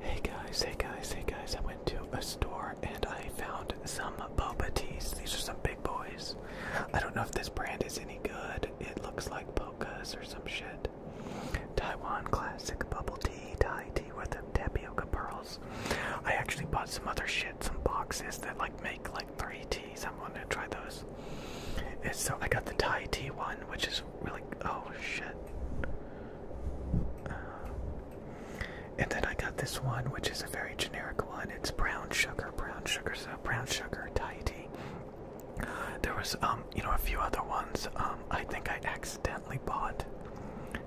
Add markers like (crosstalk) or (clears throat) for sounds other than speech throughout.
Hey guys, hey guys, hey guys, I went to a store and I found some boba teas. These are some big boys. I don't know if this brand is any good. It looks like Pocas or some shit. Taiwan classic bubble tea, Thai tea with tapioca pearls. I actually bought some other shit, some boxes that like make like three teas. I'm gonna try those. so I got the Thai tea one, which is really. Oh shit. Uh, and then I got this one, which is a very generic one. It's brown sugar, brown sugar, so brown sugar Thai There was, um, you know, a few other ones. Um, I think I accidentally bought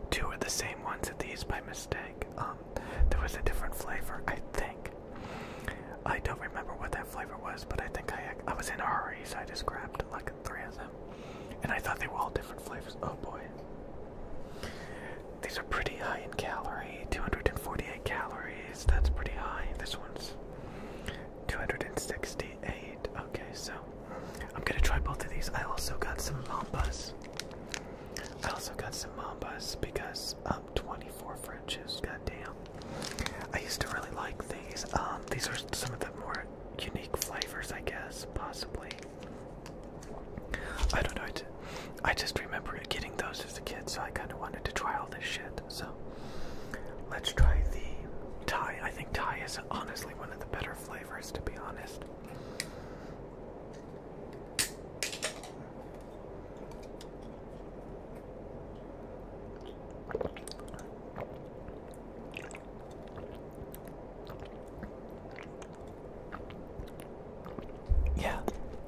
two of the same ones of these by mistake. Um, there was a different flavor, I think. I don't remember what that flavor was, but I think I I was in a hurry, so I just grabbed like three of them, and I thought they were all different flavors. Oh boy, these are pretty high in calorie 248 calories. That's pretty high. This one's 268. Okay, so I'm gonna try both of these. I also got some Mambas. I also got some Mambas because I'm um, 24 Frenches. Goddamn. I used to really like these. Um, these are some of the more unique flavors, I guess, possibly. I don't know. I just remember getting those as a kid, so I kind of wanted to try all this shit. So let's try the Thai. I think Thai is honestly one of the better flavors, to be honest. Yeah,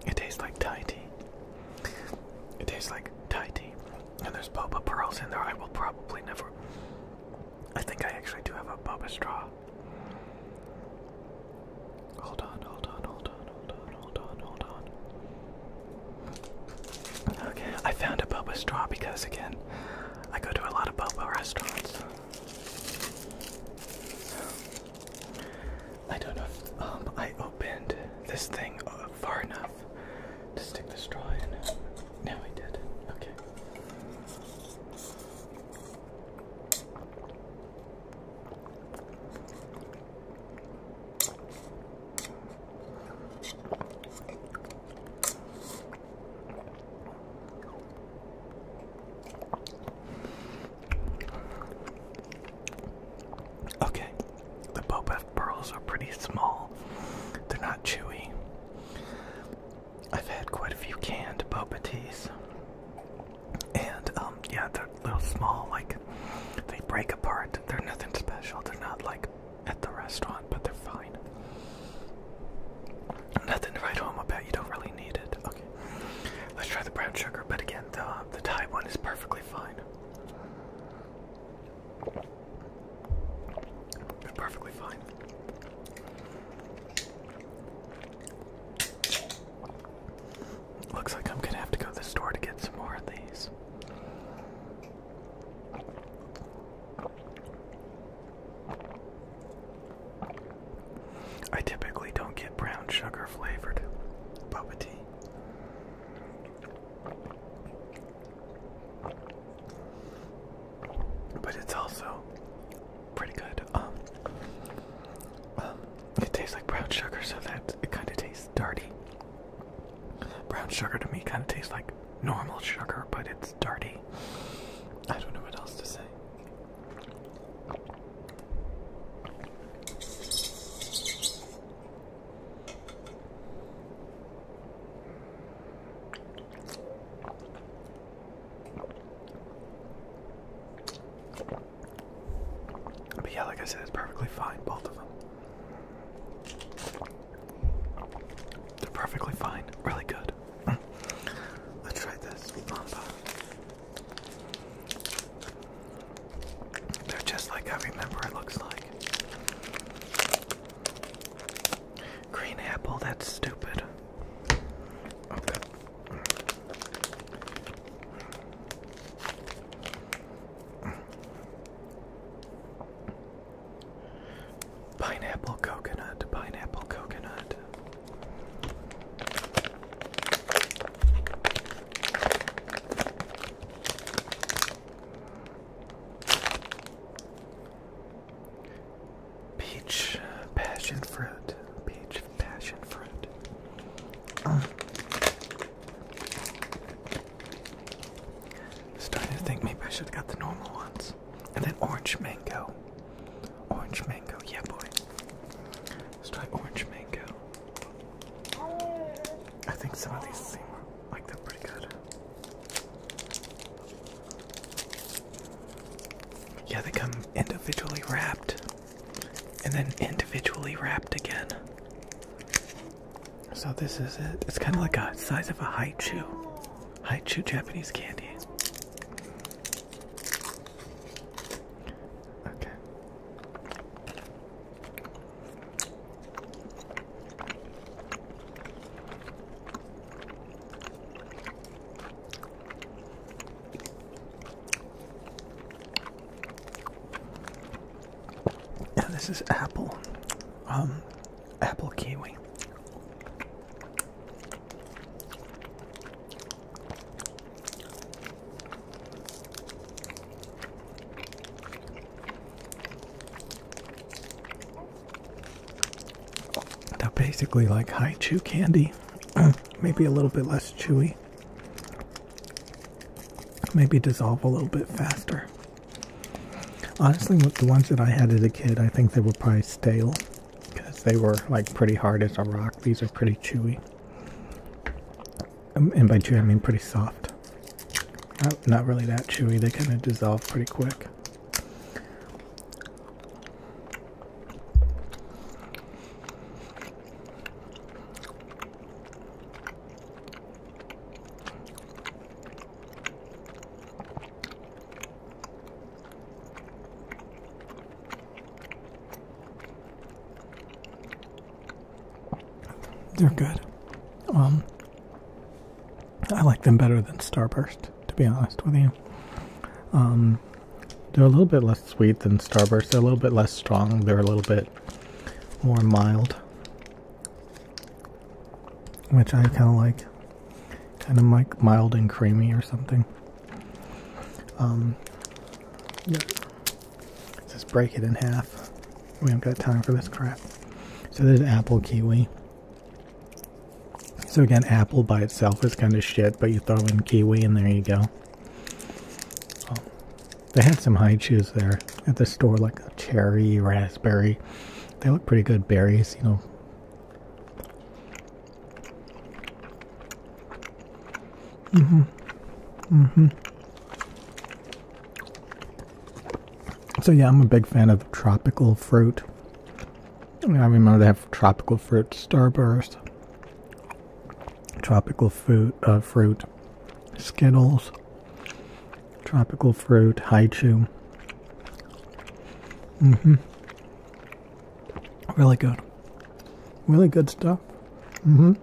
it tastes like Thai tea. It tastes like Thai tea. And there's boba pearls in there. I will probably never. I think I actually do have a boba straw. Hold on, hold on, hold Okay, I found a boba straw because, again, I go to a lot of boba restaurants. I don't know if um, I opened this thing uh, far enough to stick the straw in. Now we did. Okay. Okay, the Boba pearls are pretty small. They're not chewy. I've had quite a few canned Boba teas. And um, yeah, they're little small. Like they break apart. They're nothing special. They're not like at the restaurant, but they're fine. Nothing to write home about. You don't really need it. Okay, let's try the brown sugar. But again, the uh, the Thai one is perfectly fine. perfectly fine. Looks like I'm gonna have to go to the store to get some more of these. I typically don't get brown sugar flavored boba tea. But it's also pretty good. Um, um, it tastes like brown sugar, so that it kind of tastes dirty. Brown sugar to me kind of tastes like normal sugar, but it's dirty. I don't know what else to say. But yeah, like I said, it's perfectly fine, both of them. They're perfectly fine, really good. (clears throat) Let's try this Mamba. They're just like I remember it looks like. Green apple, that's stupid. Okay. Pineapple coconut, pineapple coconut. Peach passion fruit. Peach passion fruit. Ah. Starting to think maybe I should have got the normal ones. And then orange mango. Orange mango, yeah boy. Let's try orange mango. I think some of these seem like they're pretty good. Yeah, they come individually wrapped and then individually wrapped again. So this is it. It's kind of like a size of a haichu. Haichu Japanese candy. Okay. Now this is apple, um, apple kiwi. They're basically like high chew candy, (clears throat) maybe a little bit less chewy, maybe dissolve a little bit faster. Honestly, with the ones that I had as a kid, I think they were probably stale because they were like pretty hard as a rock. These are pretty chewy, um, and by chewy I mean pretty soft. not really that chewy. They kind of dissolve pretty quick. They're good. Um, I like them better than Starburst, to be honest with you. Um, they're a little bit less sweet than Starburst. They're a little bit less strong. They're a little bit more mild, which I kind of like. Kind of like mild and creamy or something. Um, Just break it in half. We have not got time for this crap. So there's apple kiwi. So again, apple by itself is kind of shit, but you throw in kiwi and there you go. Oh. they had some high shoes there at the store, like cherry, raspberry. They look pretty good berries, you know. hmm hmm so yeah, I'm a big fan of tropical fruit. I remember they have tropical fruit starburst, tropical uh, fruit, Skittles, tropical fruit Haichu. Mm-hmm. Really good. Really good stuff. Mm-hmm.